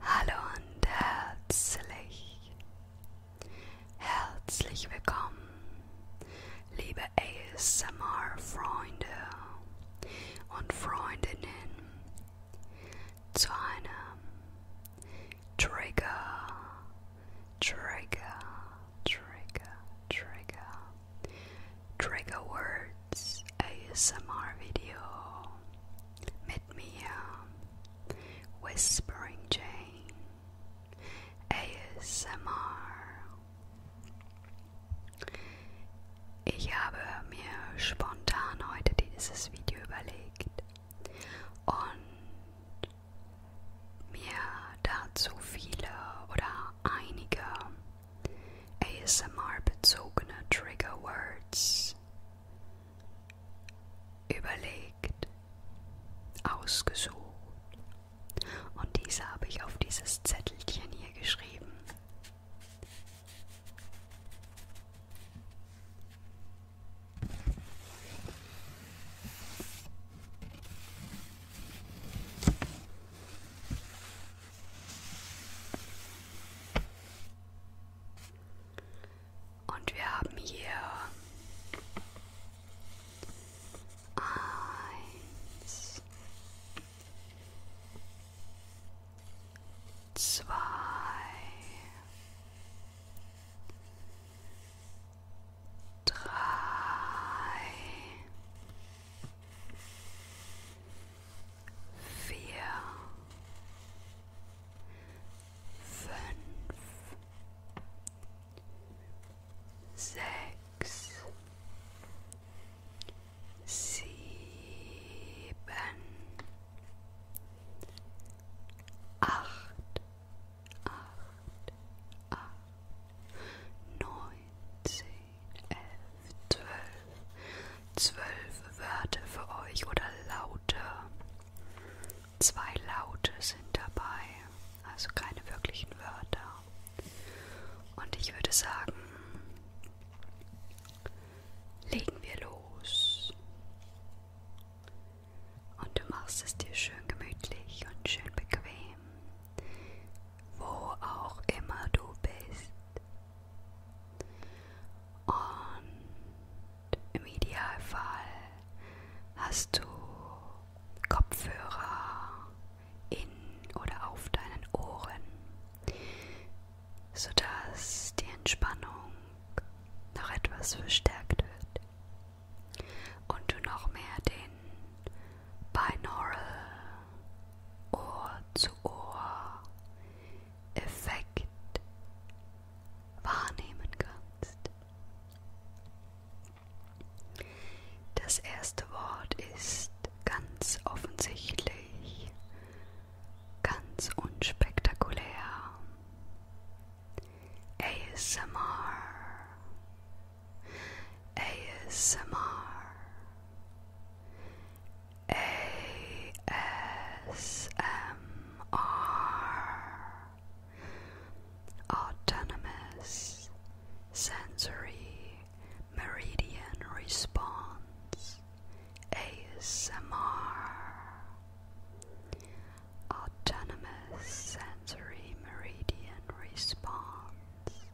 Hallo und herzlich, herzlich willkommen, liebe ASMR-Freunde und Freundinnen, zu einem Trigger, Trigger, Trigger, Trigger Trigger Words ASMR Video mit mir Whispering Jane ASMR Ich habe mir spontan heute dieses Video überlegt und mir dazu viele oder einige ASMR-bezogene Triggerwords überlegt, ausgesucht und diese habe ich auf dieses Zettelchen hier geschrieben. Und wir haben hier eins, zwei, drei, vier, fünf, sechs, sieben, acht, acht, acht, neunzehn elf, zwölf, zwölf Wörter für euch oder Laute. Zwei Laute sind dabei, also keine wirklichen Wörter. Und ich würde sagen, legen wir los. Und du machst es dir schön gemütlich und schön bequem wo auch immer du bist. Und im Idealfall hast du Kopfhörer in oder auf deinen Ohren, sodass die Entspannung noch etwas verstärkt wird und du noch mehr den Binaural, Ohr zu Ohr, Effekt wahrnehmen kannst. Das erste Wort ist ganz offensichtlich, ganz unspektakulär. ASMR ASMR ASMR Autonomous Sensory Meridian Response ASMR Autonomous Sensory Meridian Response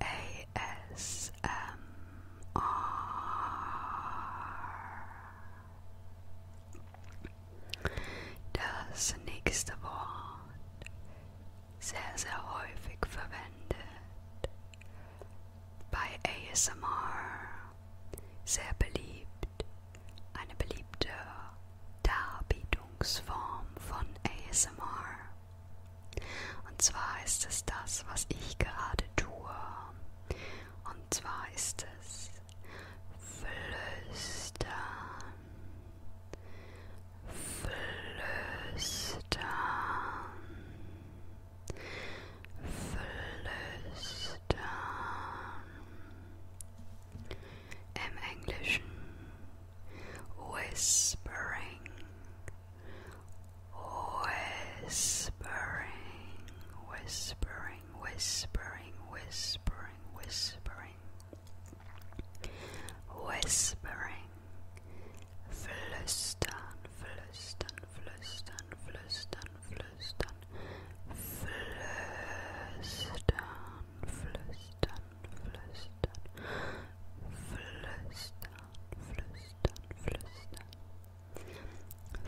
ASMR. Das nächste Wort, sehr, sehr häufig verwendet bei ASMR, sehr beliebt, eine beliebte Darbietungsform von ASMR. Und zwar ist es das, was ich gerade tue. Und zwar ist es flüstern. Flüstern. Flüstern. Im Englischen whispering, whispering, whispering, whispering, whispering, whispering, whispering, flüstern, flüstern, flüstern, flüstern, flüstern, flüstern, flüstern, flüstern, flüstern flüstern, flüstern.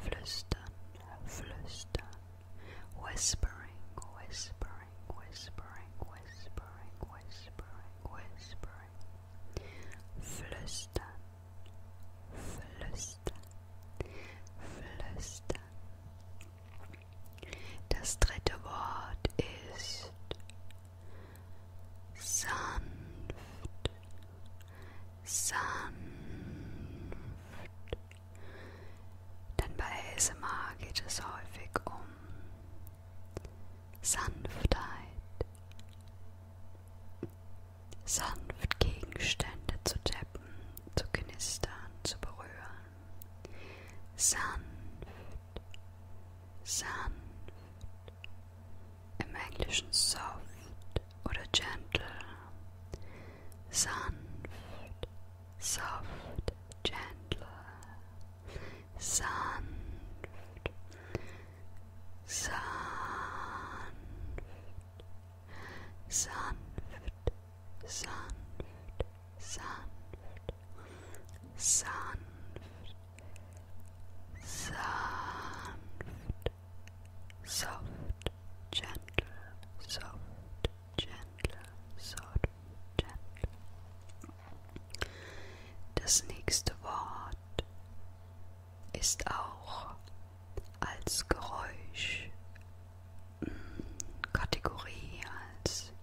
Flüstern, flüstern. Whispering, whispering, whispering, whispering, whispering, whispering. Fluster, fluster, flüstern. Das dritte Wort ist sanft, sanft. Denn bei ASMR geht es häufig um Sanftheit, sanft Gegenstände zu tappen, zu knistern, zu berühren, sanft. sanft, im Englischen soft oder gentle, sanft, soft, gentle, sanft, sanft, sanft, sanft, sanft. sanft, sanft, soft, gentle, soft, gentle, soft, gentle. Das nächste Wort ist auch als Geräusch mm, Kategorie als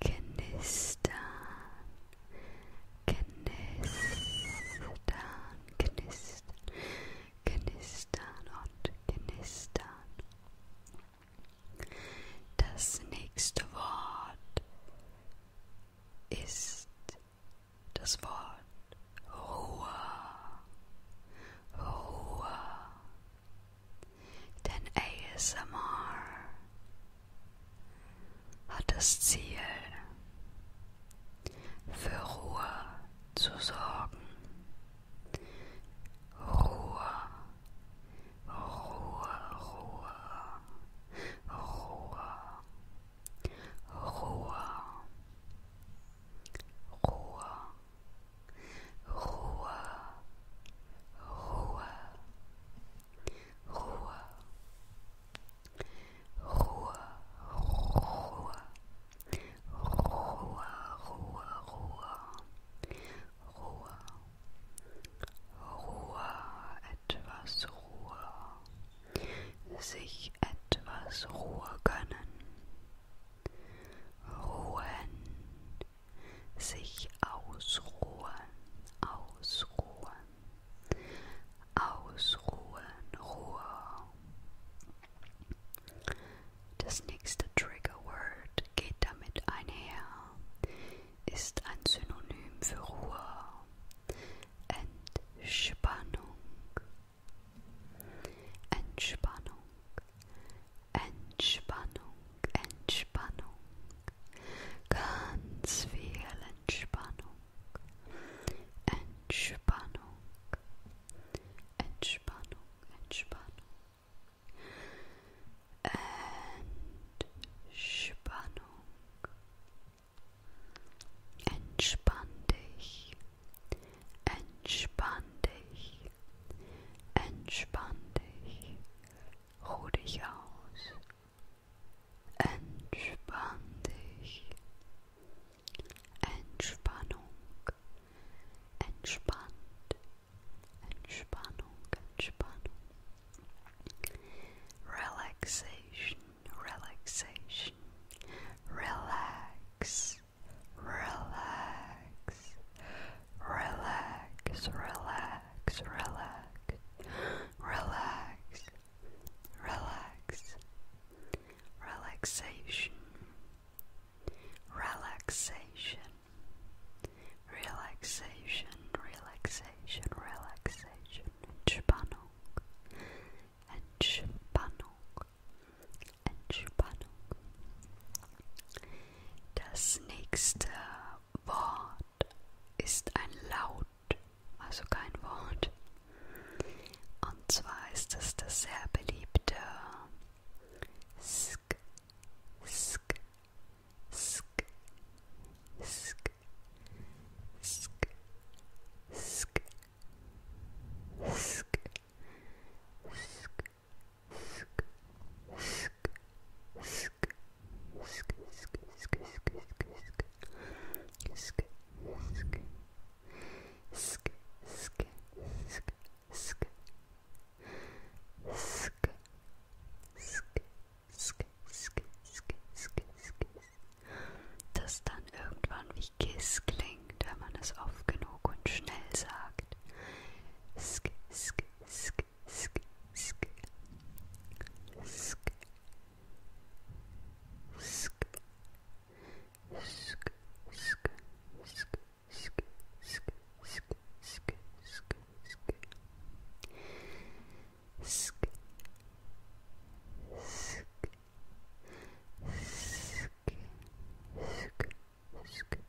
knistern, knistern, knistern, knistern und knistern. Das nächste Wort ist das Wort Ruhe. Ruhe. Denn ASMR hat das Ziel, für Ruhe zu sorgen. Ruhe, Ruhe, Ruhe, Ruhe, Ruhe, Ruhe. Ruhe, Ruhe, Ruhe, Ruhe, Ruhe, Ruhe, Ruhe, Ruhe, Ruhe, Ruhe, etwas Ruhe, sich etwas Ruhe gönnen. Ruhen, sich ausruhen, ausruhen, ausruhen, Ruhe. Das nächste Triggerword geht damit einher, ist ein Synonym für Ruhe, Entspannung, Entspannung, Entspannung, Entspannung, ganz viel Entspannung, Entspannung, Entspannung, Entspannung, Entspannung, entspann dich, entspann dich, Entspann dich, ruh dich aus. Entspann dich. Entspannung, entspannt, Entspannung, Entspannung. Relaxation, relaxation, relax, relax, relax, relax, relax, relax, relax, relaxation, relaxation, relaxation, relaxation, relaxation, Entspannung, Entspannung, Entspannung. Das nächste Wort ist ein Laut, also kein Wort. Und zwar ist es das sehr beliebte Sk, Sk, Sk, Sk, Sk, Sk, Sk, Sk, das dann irgendwann wie Kiss klingt denkt, wenn man es oft genug und schnell sagt. Sk, sk, sk, sk, sk. Sk. Sk. Sk, sk, sk, sk, sk, sk, sk, sk, sk. Sk. Sk. Sk. Sk. Sk.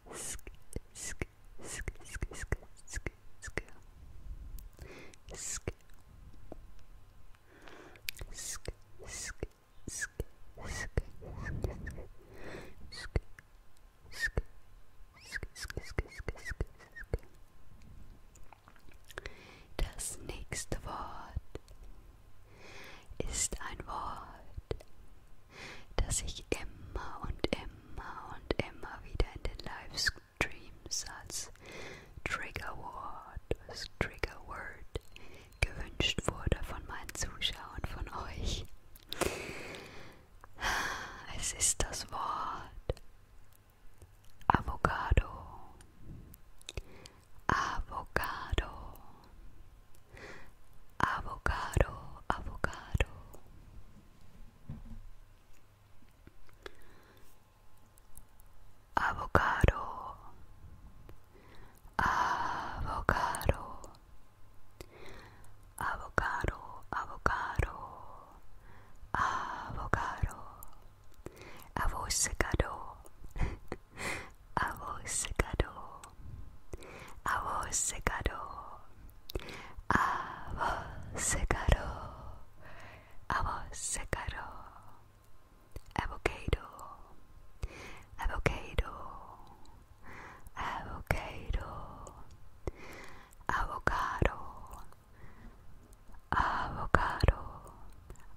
sk, sk, sk, sk, sk, sk, sk. Sk, sk, sk, sk, sk, sk, sk, sk, sk, sk. Das nächste Wort ist ein Wort, dass ich immer und immer und immer wieder in den Livestreams als Trigger Word, als Trigger Word gewünscht wurde von meinen Zuschauern, von euch. Es ist das Wort Avocado. Avocado. avocado, avocado. Avocado, avocado, avocado, avocado, avocado, avocado, Avocado, avocado, avocado, avocado, avocado, avocado, avocado, avocado,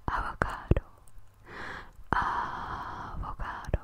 avocado,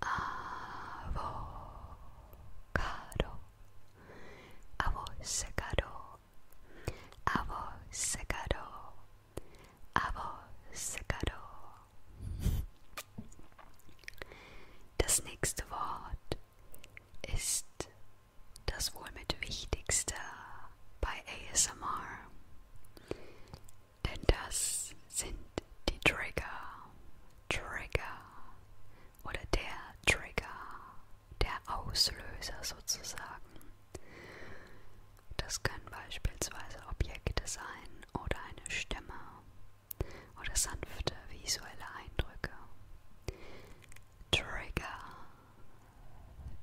avocado, avocado, avocado, avocado. Das nächste Wort ist das wohl mit wichtigste bei ASMR. Denn das sind die Trigger, Trigger oder der Trigger, der Auslöser sozusagen. Das können beispielsweise Objekte sein oder eine Stimme oder sanfte visuelle Eindrücke. Trigger,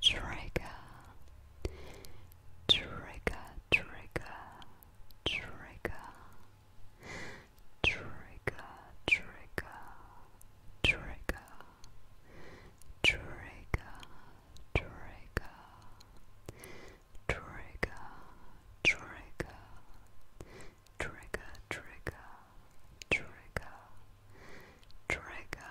Trigger, Trigger, trigger, trigger, trigger, trigger, trigger, trigger, trigger, trigger, trigger, trigger, trigger, trigger, trigger,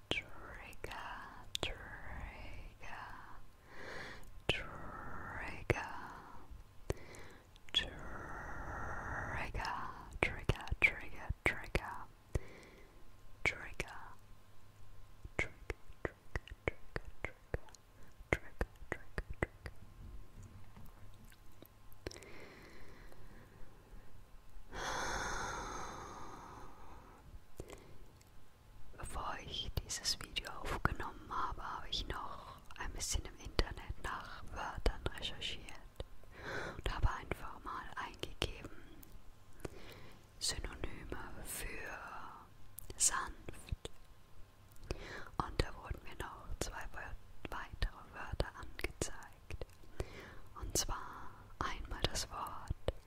trigger, trigger, trigger, trigger, trigger, trigger, trigger, trigger, trigger, trigger, trigger, trigger, trigger, trigger, trigger. Bevor ich dieses Video aufgenommen habe, habe ich noch ein bisschen im Internet nach Wörtern recherchiert und habe einfach mal eingegeben Synonyme für sanft. Und da wurden mir noch zwei weitere Wörter angezeigt. Und zwar einmal das Wort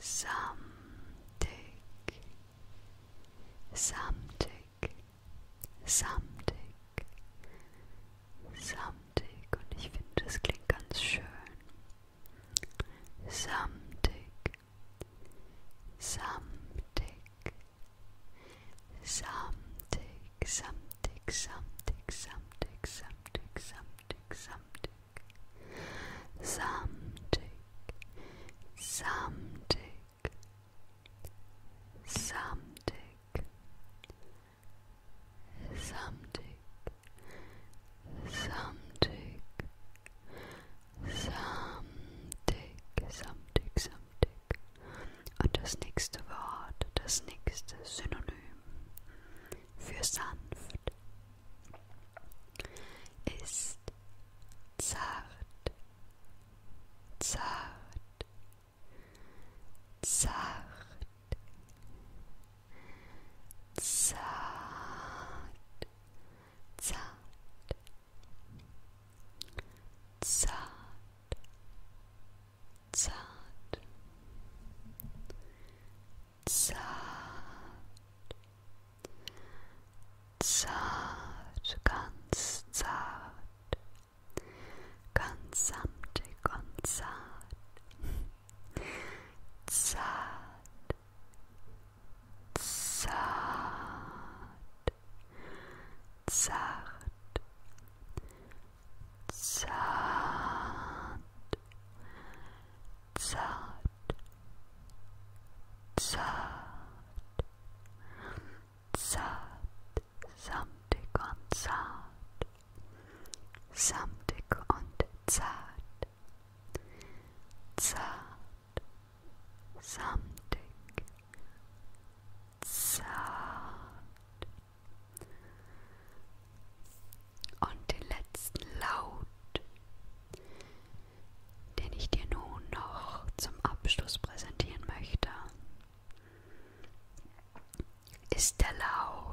samtig, samtig, samtig, samtig und ich finde, das klingt ganz schön. Samtig, samtig, samtig, samtig, samtig, samtig, samtig, samtig, samtig samtig, samtig, samtig, samtig, samtig, samtig, samtig, samtig. Und das nächste Wort, das nächste Synonym für sanft ist zart, zart, zart, zart, zart, zart, zart, zart, zart, ganz zart, ganz samtig und zart, zart, zart, zart, zart. Zart, zart, zart, zart, samtig und zart, samtig und zart, zart, samtig, zart. und den letzten Laut, den ich dir nun noch zum Abschluss präsentieren möchte, ist der Laut.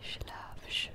Schlafe schön. Schlafe schön.